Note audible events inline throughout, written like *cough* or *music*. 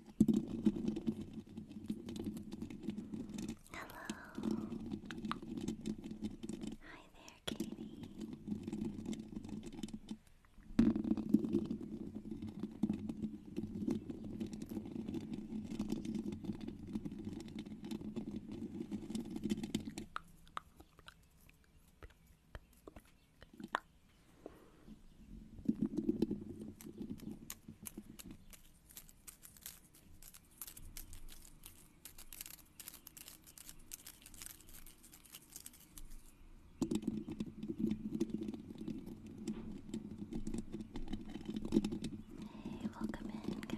Hello. Hi there, Katie. Hey, welcome in, guy.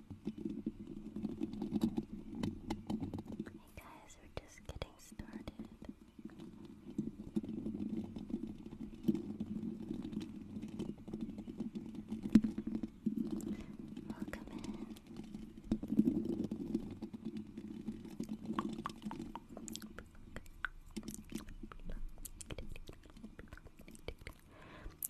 Hey guys, we're just getting started. Welcome in.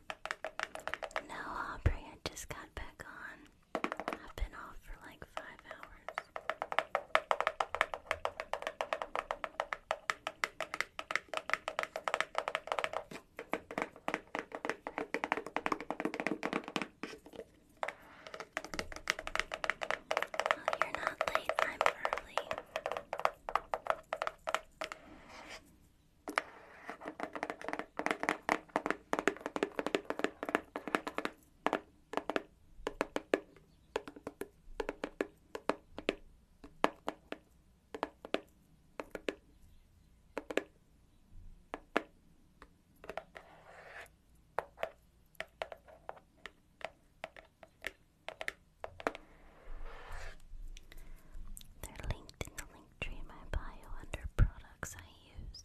No, Aubrey, I just got back on. I've been off for like five hours. you're not late, I'm early. They're linked in the link Linktree my bio under products I use.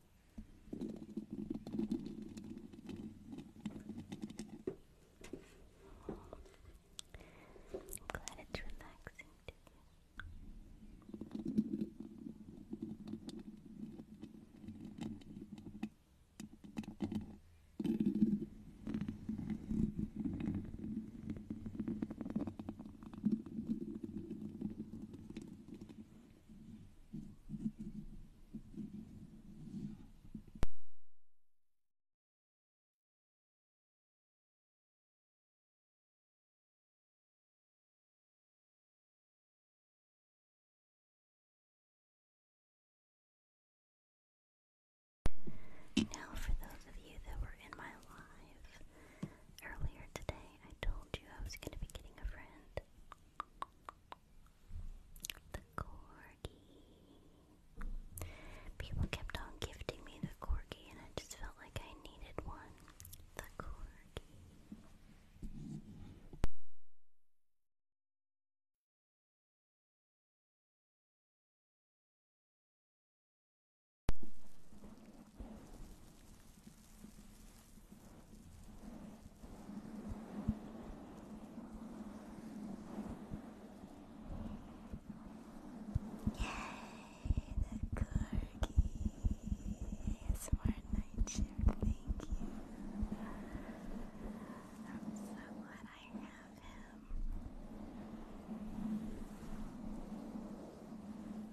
I'm glad it's relaxing to you. Now, for those of you that were in my live earlier today, I told you I was going to be getting a friend. The corgi. People kept on gifting me the corgi, and I just felt like I needed one. The corgi the corgi smart night shift, thank you. so glad I have him.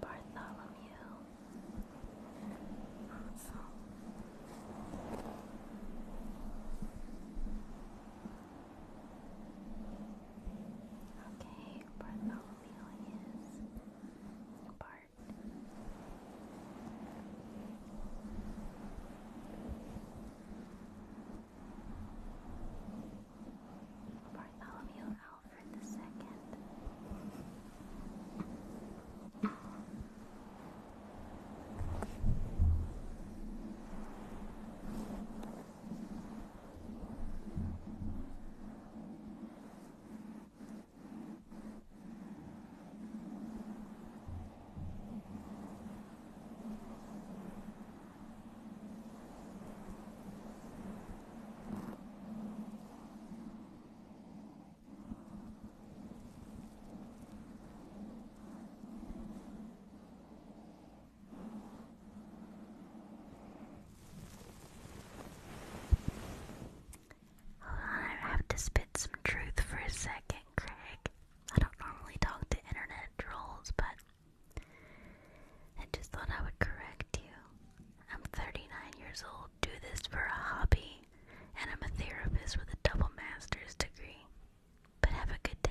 Bartholomew. Awesome. Okay, Bartholomew Bart. Bartholomew Alfred II. Hold on, I have to spit some truth for a second, Craig. I don't normally talk to internet trolls, but I just thought I would correct you. I'm 39 years old, do this for a hobby, and I'm a therapist with a double master's degree. But have a good day.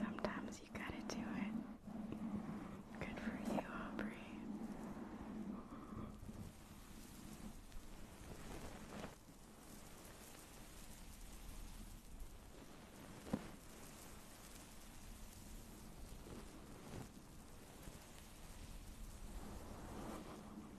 Sometimes you gotta do it. Good for you, Aubrey.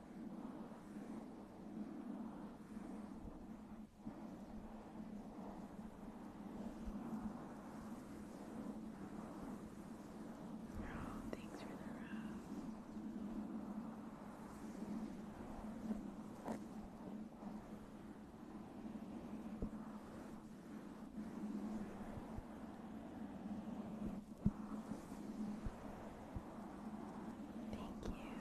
Oh, thanks for the rose. Thank you. Hey, baby shark.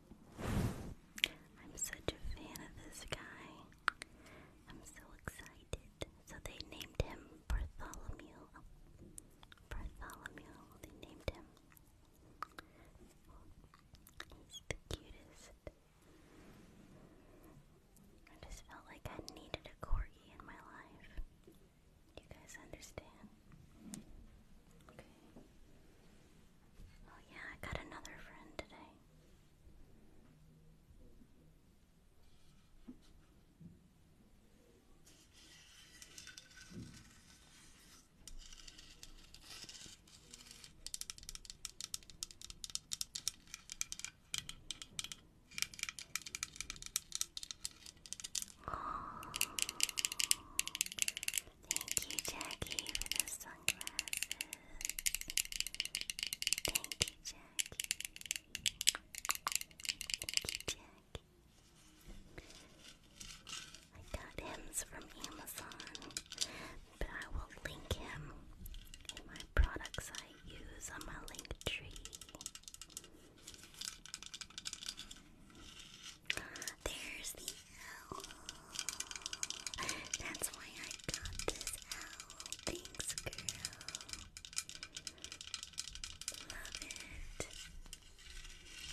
I'm such a fan of this guy. I'm so excited. So they named him Bartholomew. Bartholomew, they named him. He's the cutest. I just felt like I needed a corgi in my life. You guys understand? Okay. Oh yeah, I got another friend today. Thank you, Jackie, for the sunglasses. Thank you, Jackie. Thank you, Jackie. I got hims from Amazon, but I will link him in my products I use on my link tree. There's the owl. That's why I got this owl. Thanks, girl. Love it.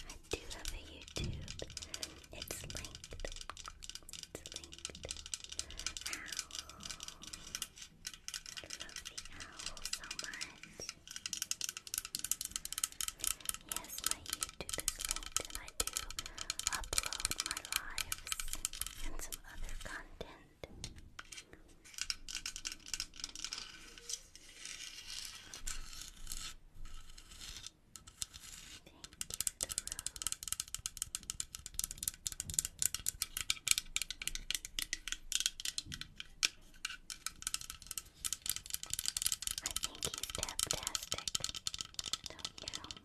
I do love a YouTube. It's linked. It's linked. Owl. love the owl so much. Yes, my YouTube is linked I do upload my lives and some other content. Thank you, Thoreau. think he's fantastic, you? Oh,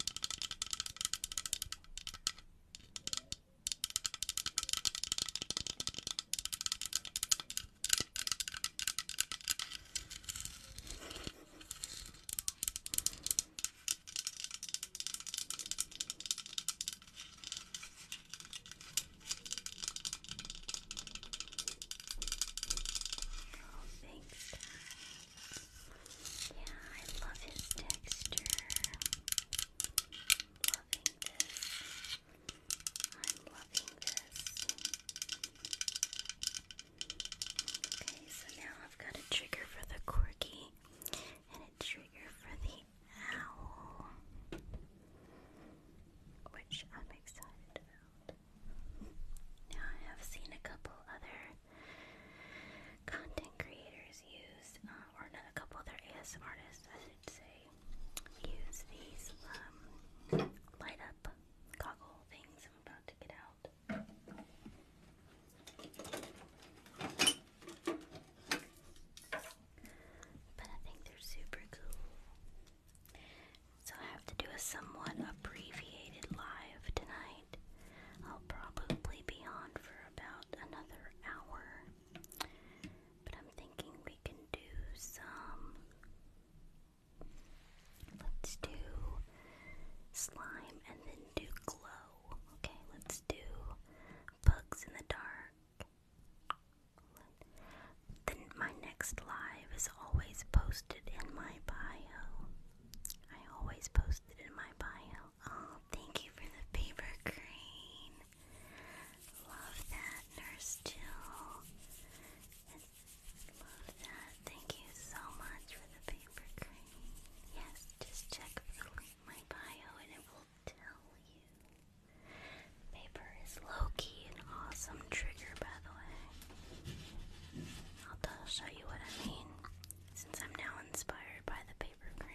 thanks, guys. Yeah, I love his texture. Loving this. I'm loving this. Okay, so now I've got a trigger for the corgi and a trigger for the owl, which I'm excited about. Now I have seen a couple other content creators use, uh, or another couple other ASM artists, I should say, use these um, light up goggle things I'm about to get out. But I think they're super cool. So I have to do a somewhat abbreviated live tonight. I'll probably be on for about another hour. But I'm thinking we can do some. Let's do slime and then do glow. Okay, let's do bugs in the dark. Then my next live is always posted in my bio. I always post in my bio. Oh, thank you for the paper crane. Love that, Nurse Jill. Love that. Thank you so much for the paper crane. Yes, just check my bio and it will tell you. Paper is low an awesome trigger, by the way. I'll show you what I mean since I'm now inspired by the paper crane.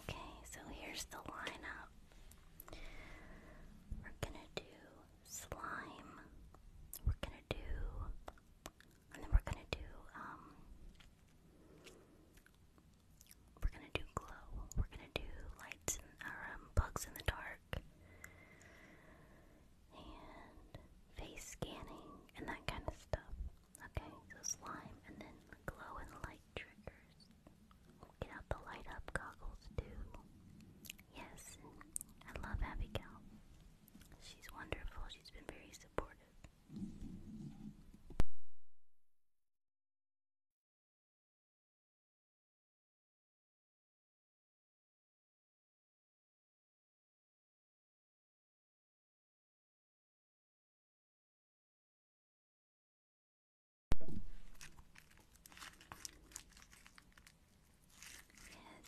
Okay, so here's the lineup. We're gonna do slime. We're gonna do, and we're gonna do, um, we're gonna do glow. We're gonna do lights and, um, bugs in the dark and face scanning and that kind of stuff. Okay, so slime and then glow and light triggers. get out the light up goggles too. Yes, I love Abigail. She's wonderful. She's been very supportive.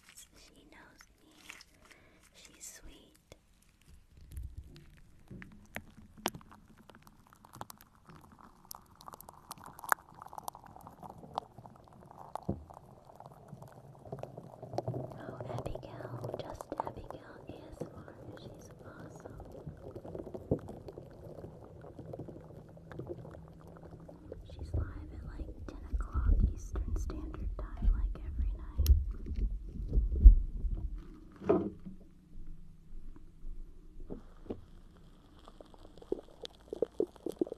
Yes, she knows me. She's sweet. Oh, Abigail, just Abigail ASMR. She's awesome. She's live at like 10 o'clock Eastern Standard Time, like every night.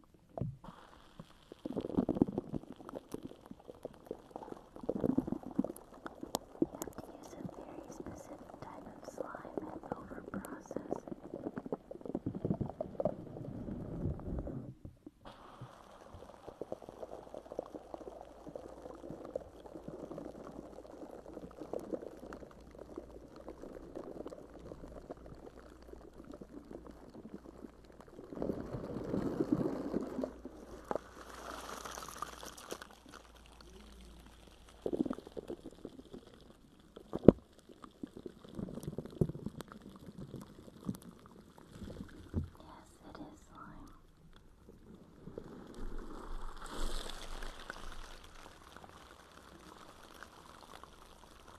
use a very specific type of slime and overprocess it. Now Yes, it is slime.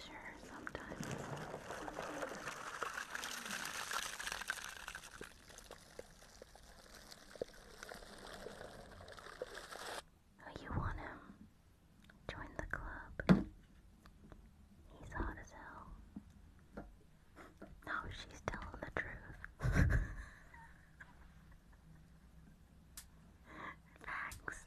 Sure, sometimes. Oh, you want him? Join the club. He's hot as hell. No, she's telling the truth. Facts.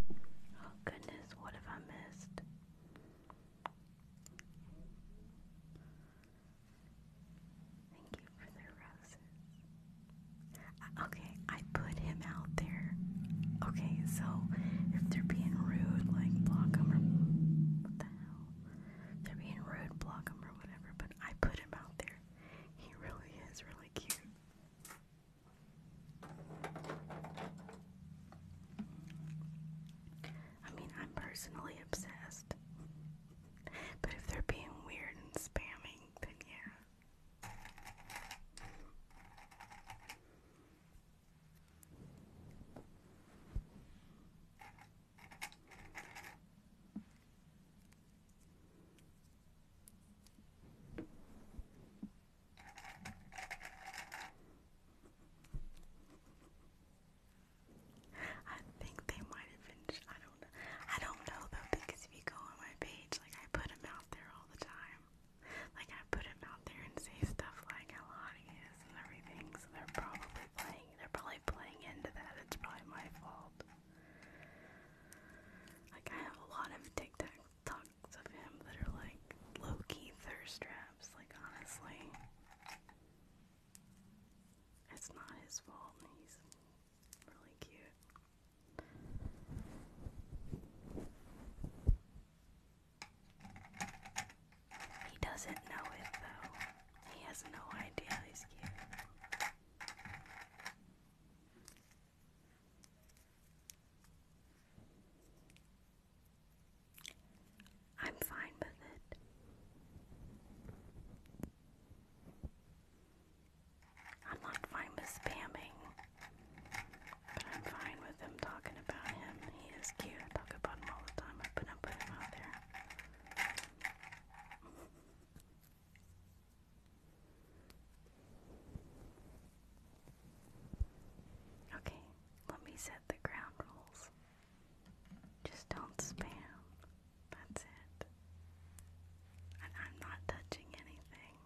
Oh goodness, what have I missed? Thank you for the roses. Okay, I put him out there. Okay, so if they're being rude, like block them or what the hell? they're being rude, block them or whatever, but I put him out there. He really is really cute. I mean, I'm personally obsessed. But if they're being weird and spamming, then yeah. I think they might have finished. I don't I don't know though because if you go on my page, like I put them out there all the time. Like I put them out there and say stuff like how hot it is and everything. So they're probably playing. They're probably playing into that. It's probably my fault. Like I have a lot of TikTok talks of him that are like low-key thirst traps, like honestly. It's not his fault he's really cute. He doesn't know it though. He has no idea he's cute. I'm fine with it. I'm not fine with spamming, but I'm fine with them talking about him. He is cute. I talk about him all the time. I put, I put him out there. Okay, let me set the ground rules. Just don't spam. That's it. I'm not touching anything.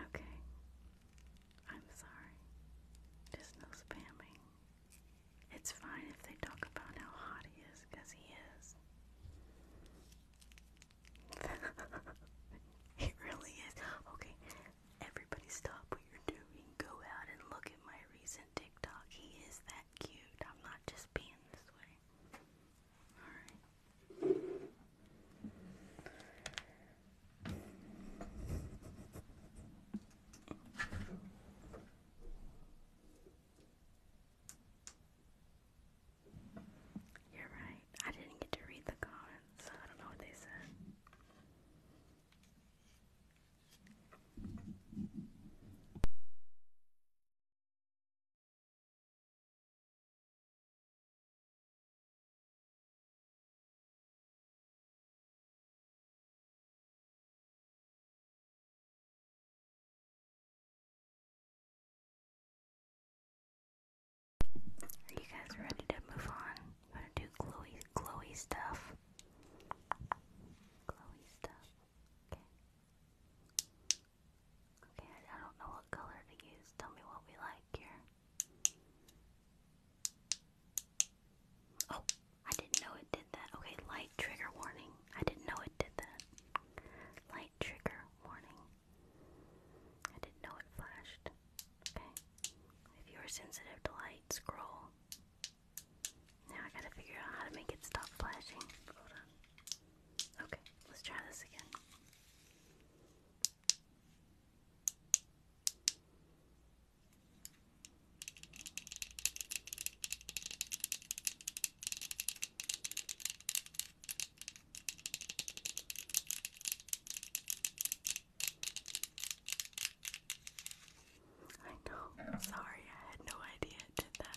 Okay. I'm sorry. Just no spamming. It's fine if they talk about how hot he is, because he is. it *laughs* really is. Okay, everybody stop what you're doing. Go out and look at my recent TikTok. He is that cute. I'm not just being this way. Alright. You're right. I didn't get to read the comments, so I don't know what they said. Are you guys ready to move on? I'm gonna do glowy, glowy stuff. Glowy stuff. Okay. Okay, I, don't know what color to use. Tell me what we like here. Oh, I didn't know it did that. Okay, light trigger warning. I didn't know it did that. Light trigger warning. I didn't know it flashed. Okay. If you're sensitive to light, scroll. Now I gotta figure out how to make it stop flashing. Hold on. Okay, let's try this again. I know, sorry, I had no idea it did that.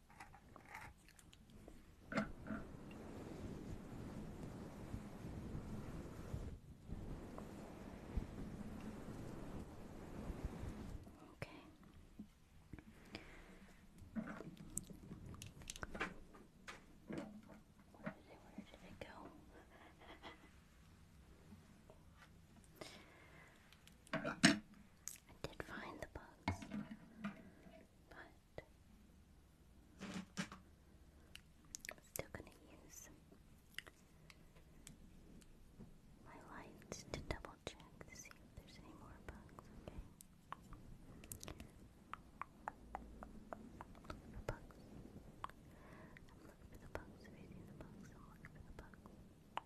Okay. Where did it, go? I did find the bugs, but I'm still going to use my light to double check to see if there's any more bugs, okay? Look bugs. I'm looking for the bugs, I'm looking for the bugs.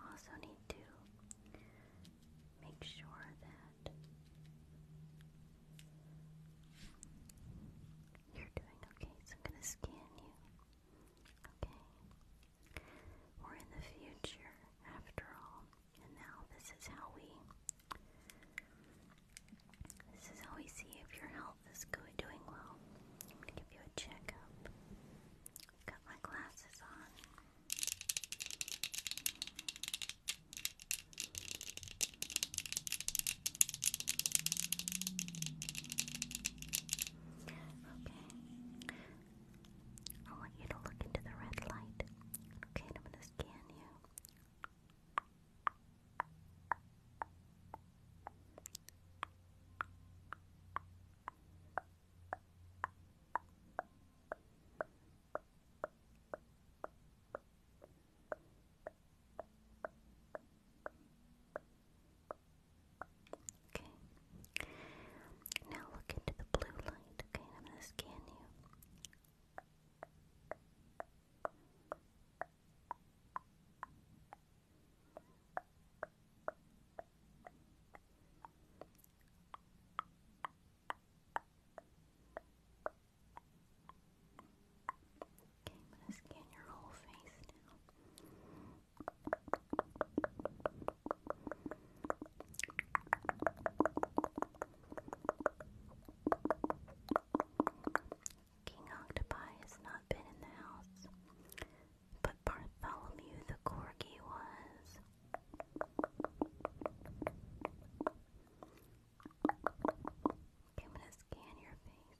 Also need to make sure that you're doing okay. So I'm gonna scan you. Okay. We're in the future, after all. And now this is how we this is how we see if your health is good, doing well. I'm give you a checkup. I've got my glasses on. Okay. I want you to look into the red light. Okay, I'm gonna scan you. Okay. Now look into the blue light. Okay, I'm going to scan you. I'm gonna scan your whole face now. King Octopi has not been in the house, but Bartholomew the Corgi was. I'm gonna scan your face.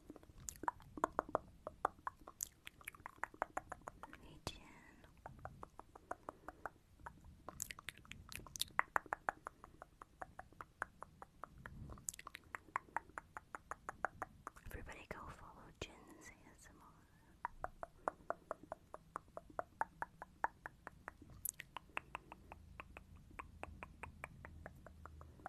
Region. Everybody go follow Jin's ASMR.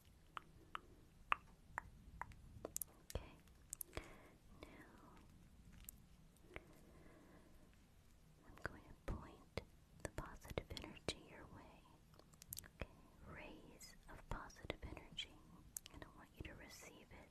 Okay. Now I'm going to point the positive energy your way. Okay. Rays of positive energy. And I want you to receive it.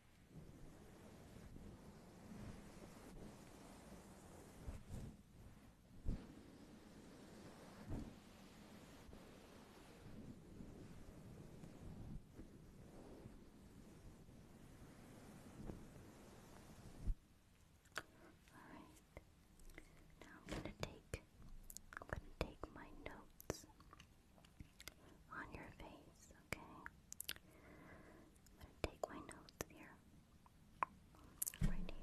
Now I'm gonna take I'm gonna take my notes on your face, okay? gonna take my notes here. Right here.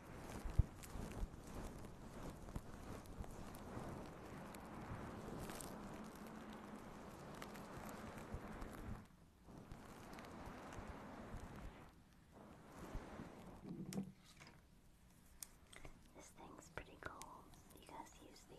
This thing's pretty cool. You guys use these.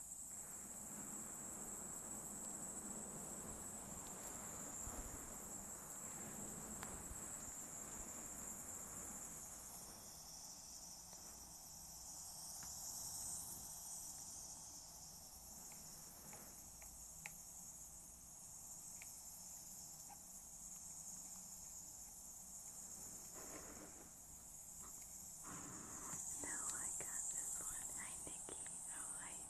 Now I got this one. Hi Nikki, how are you?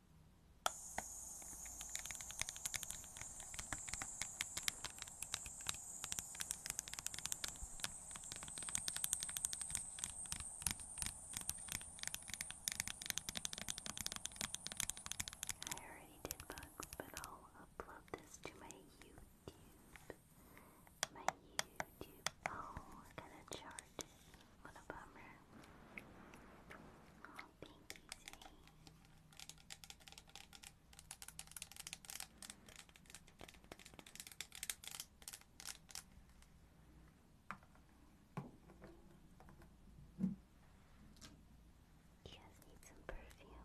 I already did bugs, but I'll upload this to my YouTube. My YouTube. Oh, I gotta charge it. What a thank you, Zane. need some perfume.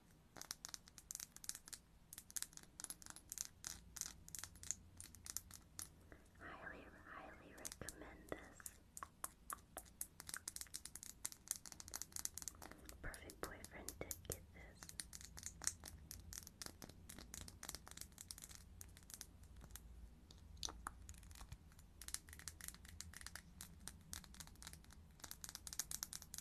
Highly, highly recommend this. Perfect boyfriend did get this.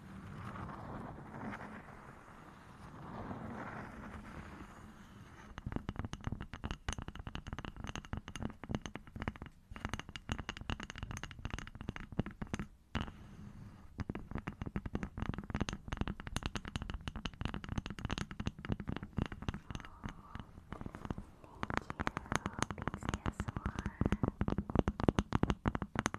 Thank you, Pixie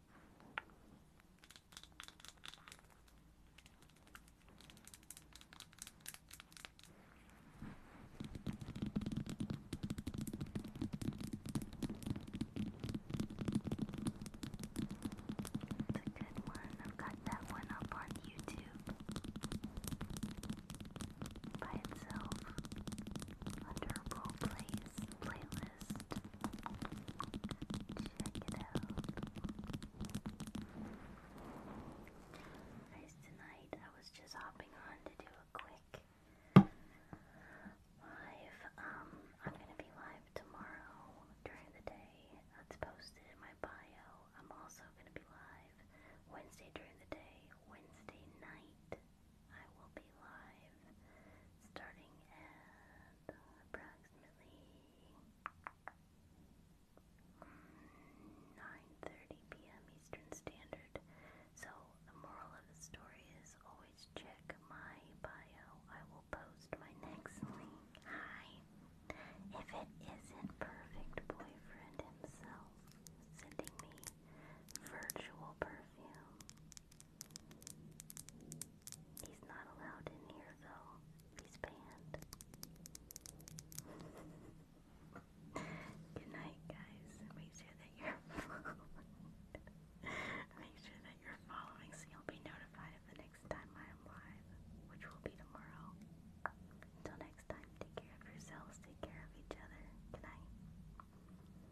It's a good one. I've got that one up on YouTube by itself under role plays playlist. Check it out. Guys, tonight I was just hopping on to do a quick live. Um, I'm gonna be live tomorrow during the day. That's posted in my bio. I'm also gonna be live Wednesday during the day, Wednesday night I will be live starting at approximately 9:30 p.m. Eastern Standard. So the moral of the story is always check my bio. I will post my next link. Hi. If it isn't perfect boyfriend himself sending me virtual perfume. He's not allowed in here though. He's banned. *laughs* Good guys. Make sure that you're *laughs* make sure that you're following so you'll be notified of the next time I am live, which will be tomorrow. Until next time, take care of yourselves, take care of each other. Good